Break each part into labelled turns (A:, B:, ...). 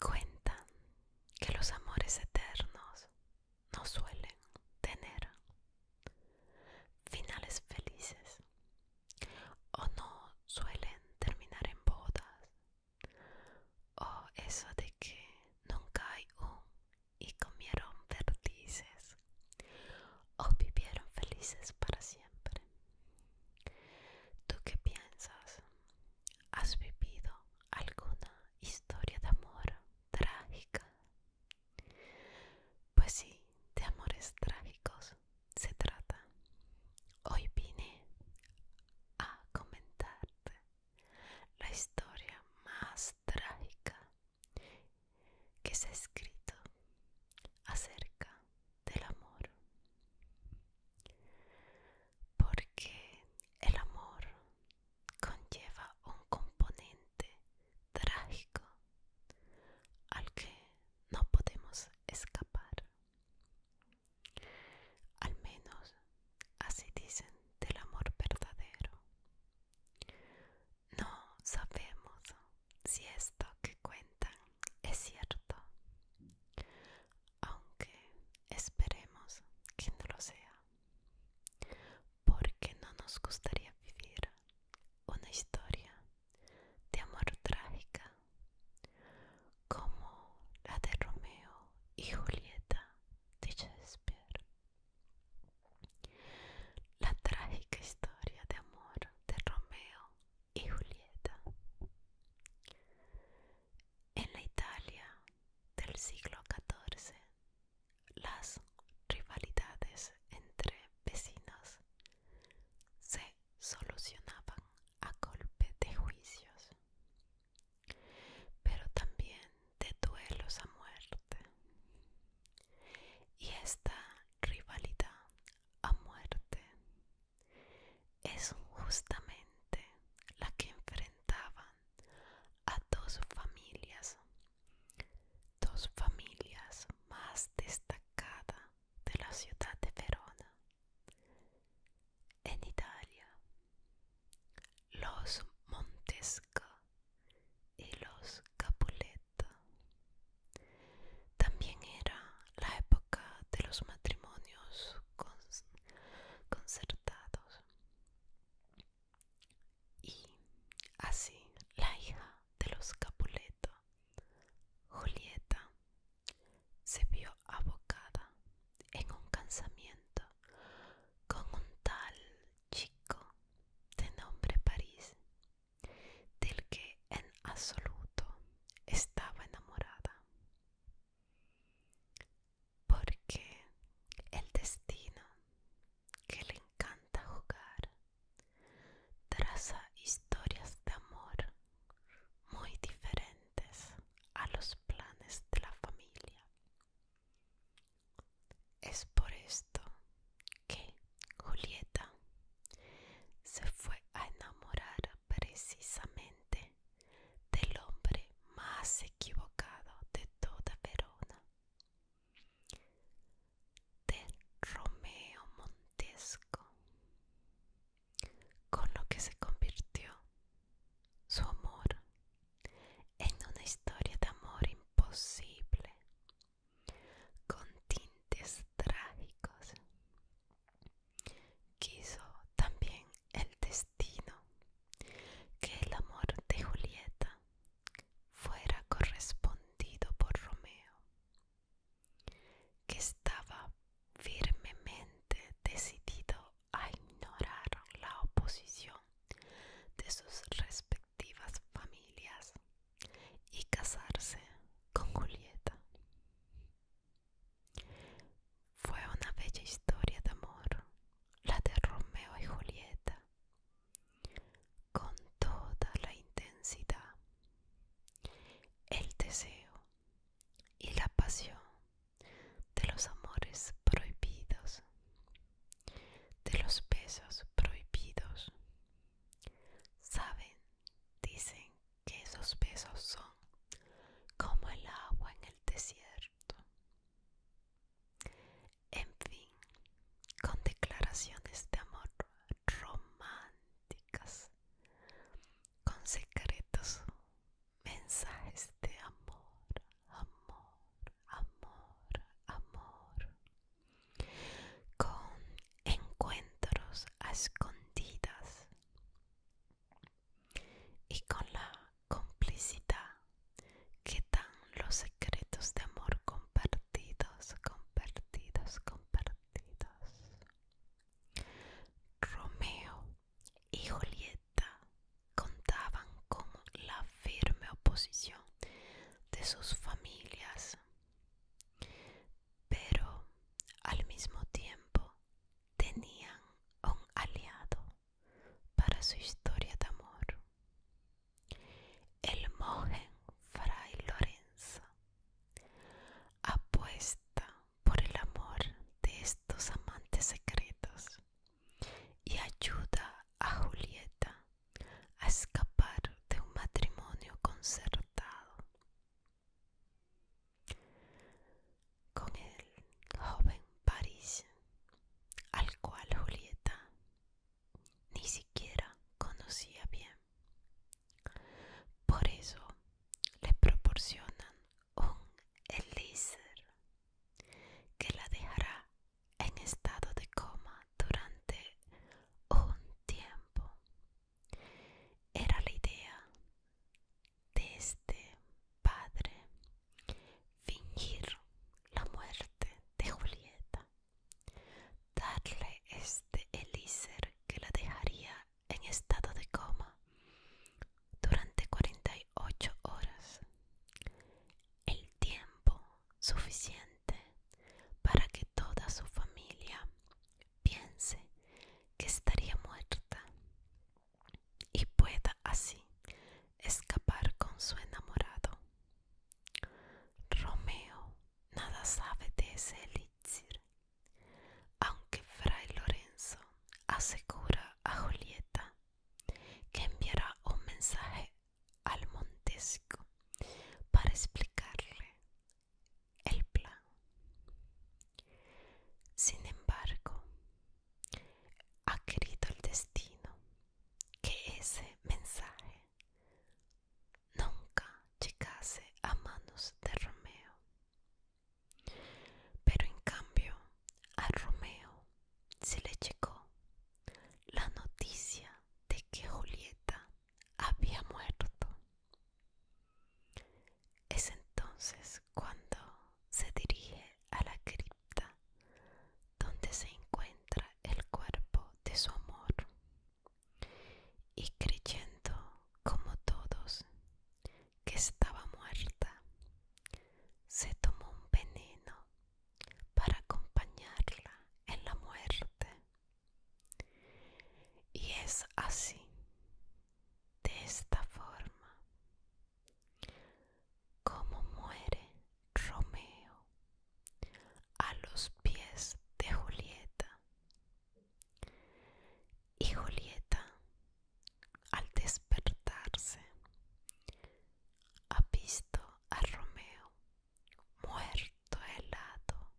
A: Cuentan que los amores eternos no suelen tener finales felices o no suelen terminar en bodas o eso de que nunca hay un y comieron verdices o vivieron felices para siempre. ¿Tú qué piensas? ¿Has vivido alguna historia de amor trágica? Pues sí, de amores trágicos se trata. Hoy vine a comentarte la historia más trágica que se ha escrito acerca del amor. Porque el amor conlleva un componente trágico al que no podemos escapar. Al menos así dicen del amor verdadero. No sabemos si esto que cuentan es cierto, aunque esperemos que no lo sea, porque no nos gustaría vivir una historia de amor trágica como la de Romeo y Julieta Shakespeare. La trágica historia de amor de Romeo y Julieta. En la Italia del siglo XIV, las rivalidades entre vecinos se solucionaban a golpe de juicios pero también de duelos a muerte. Y esta rivalidad a muerte es justamente la que enfrentaban a dos familias, dos familias más destacadas de la ciudad de Verona, en Italia, los Montesca y los Capuleto. También era la época de los matrimonios concertados. Y así la hija de los Capuleto, Julieta, se vio abocada en un cansamiento con un tal chico de nombre París, del que en absoluto estaba enamorada, porque el destino que le encanta jugar traza historias de amor muy diferentes a los planes de la familia. Es por esto que Julieta se fue a enamorar precisamente del hombre más equivocado de toda Verona, de Romeo Montesco con lo que se convirtió su amor en una historia de amor imposible, con tintes trágicos. Quiso también el destino que el amor de Julieta fuera correspondido por Romeo, que estaba firmemente decidido a ignorar la oposición de sus respectivas familias y casarse con Julieta. Fue una bella historia de amor, la de Romeo y Julieta, con toda la intensidad, el deseo y la pasión de los amores prohibidos, de los besos prohibidos. Saben, dicen que esos besos son como el agua en el desierto. En fin, con declaraciones de amor románticas con secretos mensajes de amor, amor, amor, amor, con encuentros a escondidas y con la complicidad que dan los secretos de amor compartidos, compartidos, compartidos. Romeo y Julieta contaban con la firme oposición de sus familias, pero al mismo tiempo tenían un aliado para su historia de amor, el monje Fray Lorenzo. Apuesta por el amor de estos amantes secretos y ayuda a Julieta a escapar de un matrimonio concertado. Con el joven París, al cual Julieta ni siquiera conocía bien. Por eso le proporcionan un elixir que la dejará en estado de coma durante un tiempo. Era la idea de este padre fingir la muerte de Julieta, darle este elixir que la dejaría en estado de coma durante 48 horas, el tiempo suficiente para que toda su familia piense que estaría muerta y pueda así escapar con su enamorado. Romeo nada sabe de ese elixir aunque Fray Lorenzo asegura a Julieta que enviará un mensaje al Montesco para explicarle el plan. Sin embargo, ha querido el destino que ese mensaje nunca llegase a manos de Romeo. Pero en cambio, a Romeo se le llegó la noticia de que Julieta había muerto. Es entonces cuando se dirige a la cripta donde se encuentra el cuerpo de su amor y creyendo como todos que estaba muerta, se tomó un veneno para acompañarla en la muerte. Y es así, de esta forma, como muere Romeo a los pies de Julieta y Julieta, al despertarse, ha visto a Romeo muerto helado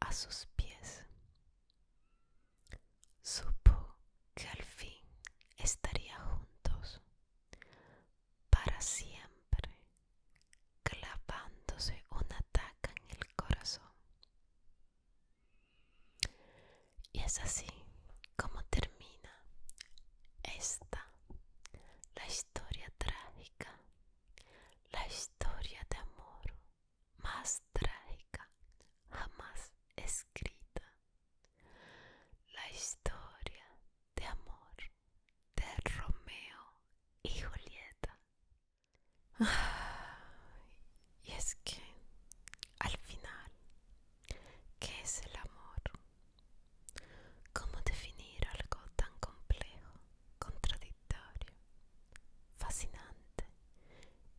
A: a sus pies. Supo que al fin estaría juntos para siempre clavándose una taca en el corazón. Y es así como termina esta, la historia trágica, la historia de amor más trágica jamás escrita, la historia de amor de Romeo y Julieta. Y es que, al final, ¿qué es el amor? ¿Cómo definir algo tan complejo, contradictorio, fascinante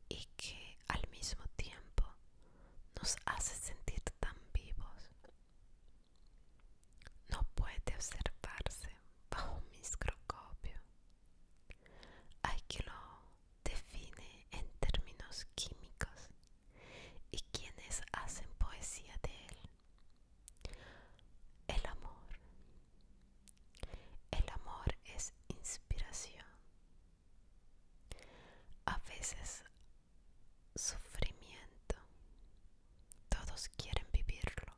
A: y que al mismo tiempo nos hace sentir tan vivos? No puede observarse bajo un microscopio. Hay que lo define en términos químicos y quienes hacen poesía de él. El amor. El amor es inspiración. A veces sufrimiento. Todos quieren vivirlo.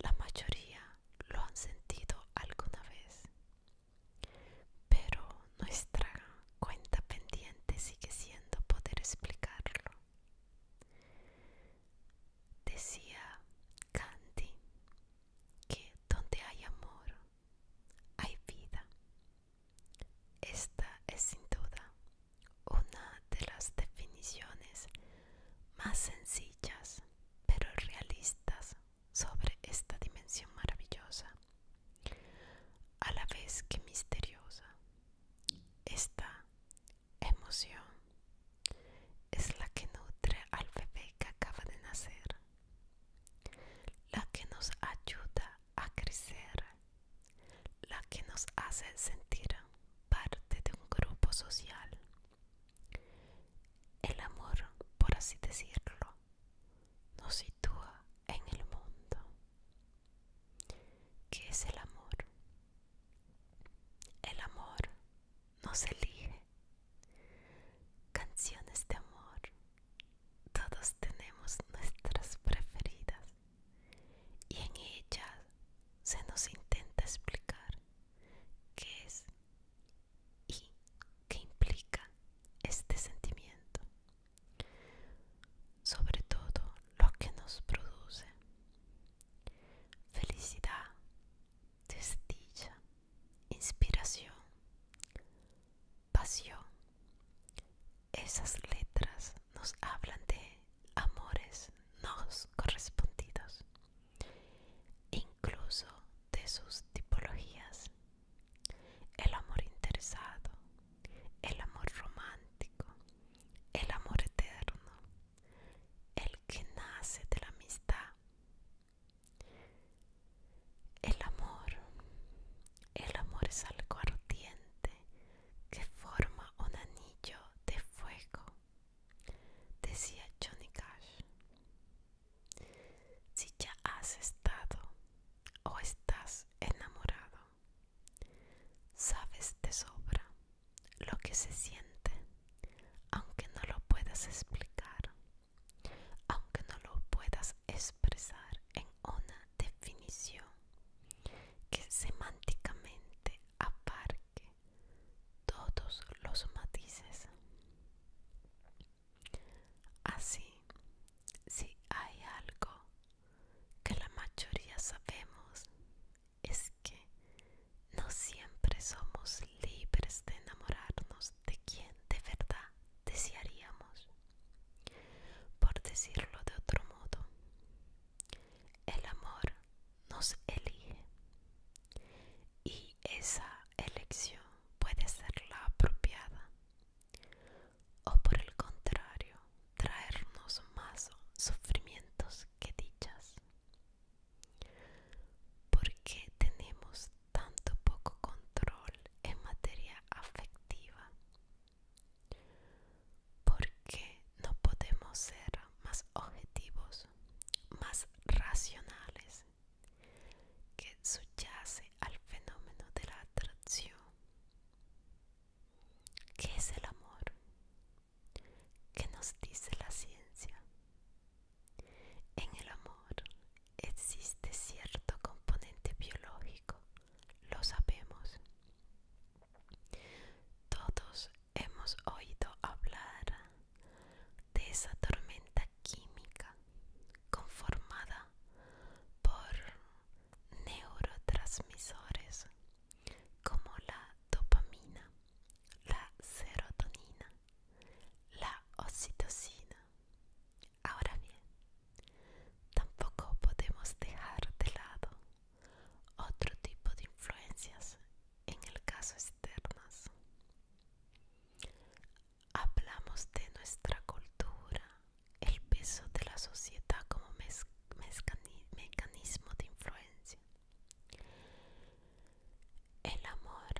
A: La mayoría lo han sentido alguna vez, pero nuestra cuenta pendiente sigue siendo poder explicarlo. Decía Gandhi que donde hay amor, hay vida. Esta es sin duda una de las definiciones más sencillas pero realistas sobre esta dimensión maravillosa, a la vez que misteriosa, esta emoción es la que nutre al bebé que acaba de nacer, la que nos ayuda a crecer, la que nos hace sentir parte de un grupo social. El amor, por así decirlo, nos sitúa en el mundo. ¿Qué es el amor? El amor nos elige. Canciones de amor. Todos tenemos nuestras preferidas y en ellas se nos intenta explicar qué es y qué implica este sentimiento, sobre todo lo que nos produce felicidad, justicia, inspiración, pasión esas letras nos hablan de amores no correspondidos, incluso de sus tipologías, el amor interesado, el amor romántico, el amor eterno, el que nace de la amistad, el amor, el amor es algo ardiente que forma un anillo de fuego, decía Johnny Cash. Si ya has estado o estás enamorado, sabes de sobra lo que se siente, aunque no lo puedas explicar, aunque no lo puedas expresar en una definición que semánticamente aparque todos los matices. Así, si hay algo que la mayoría sabemos, es que no siempre somos libres de enamorarnos de quien de verdad desearíamos. Por decirlo de otro modo, el amor nos elige y esa elección puede ser la apropiada o por el contrario traernos más sufrimientos que dichas. ¿Por qué tenemos tanto poco control en materia afectiva? ¿Por qué no podemos ser más objetivos, más racionales, que subyace al fenómeno de la atracción. ¿Qué es el amor? ¿Qué nos dice la ciencia? En el amor existe cierto componente biológico lo sabemos. Todos hemos oído hablar de esa tormenta química conformada por neurotransmisores como la dopamina, la serotonina, la oxitocina, Ahora bien, tampoco podemos dejar de lado otro tipo de influencias, en el caso externas. Hablamos de nuestra cultura, el peso de la sociedad como mecanismo de influencia. El amor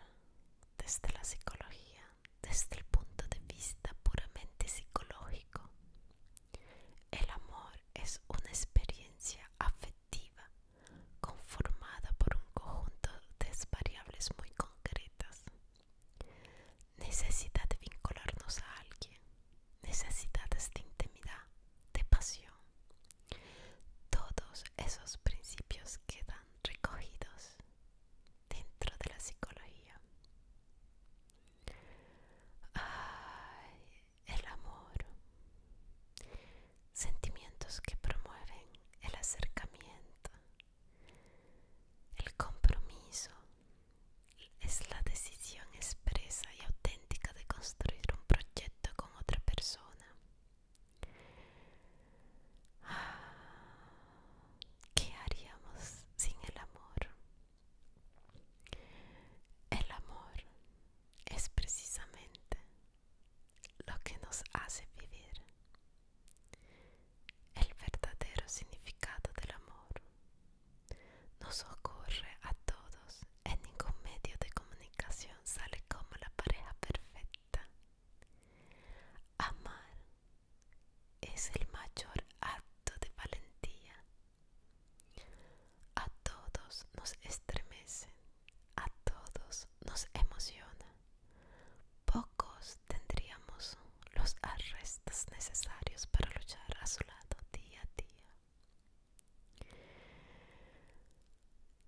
A: desde la psicología desde el punto de vista puramente psicológico. El amor es una experiencia afectiva conformada por un conjunto de variables muy concretas. Necesidad de vincularnos a alguien, necesidades de intimidad, de pasión. Todos esos principios quedan recogidos dentro de la psicología. el amor. Sentimientos que promueven el acercamiento, el compromiso. Es la decisión expresa y auténtica de construir un proyecto con otra persona. ¿Qué haríamos sin el amor? El amor es precisamente lo que nos hace vivir. El verdadero significado del amor nos ocurre a todos en ningún medio de comunicación sale como la pareja perfecta Amar es el mayor acto de valentía. A todos nos estremece, a todos nos emociona. Pocos tendríamos los arrestos necesarios para luchar a su lado día a día.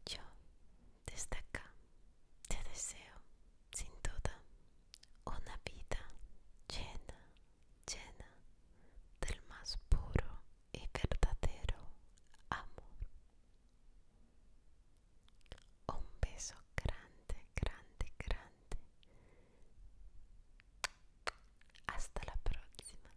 A: Yo, desde acá, te deseo sin duda, una vida llena, llena del más puro y verdadero amor. Un beso grande, grande, grande. Hasta la próxima.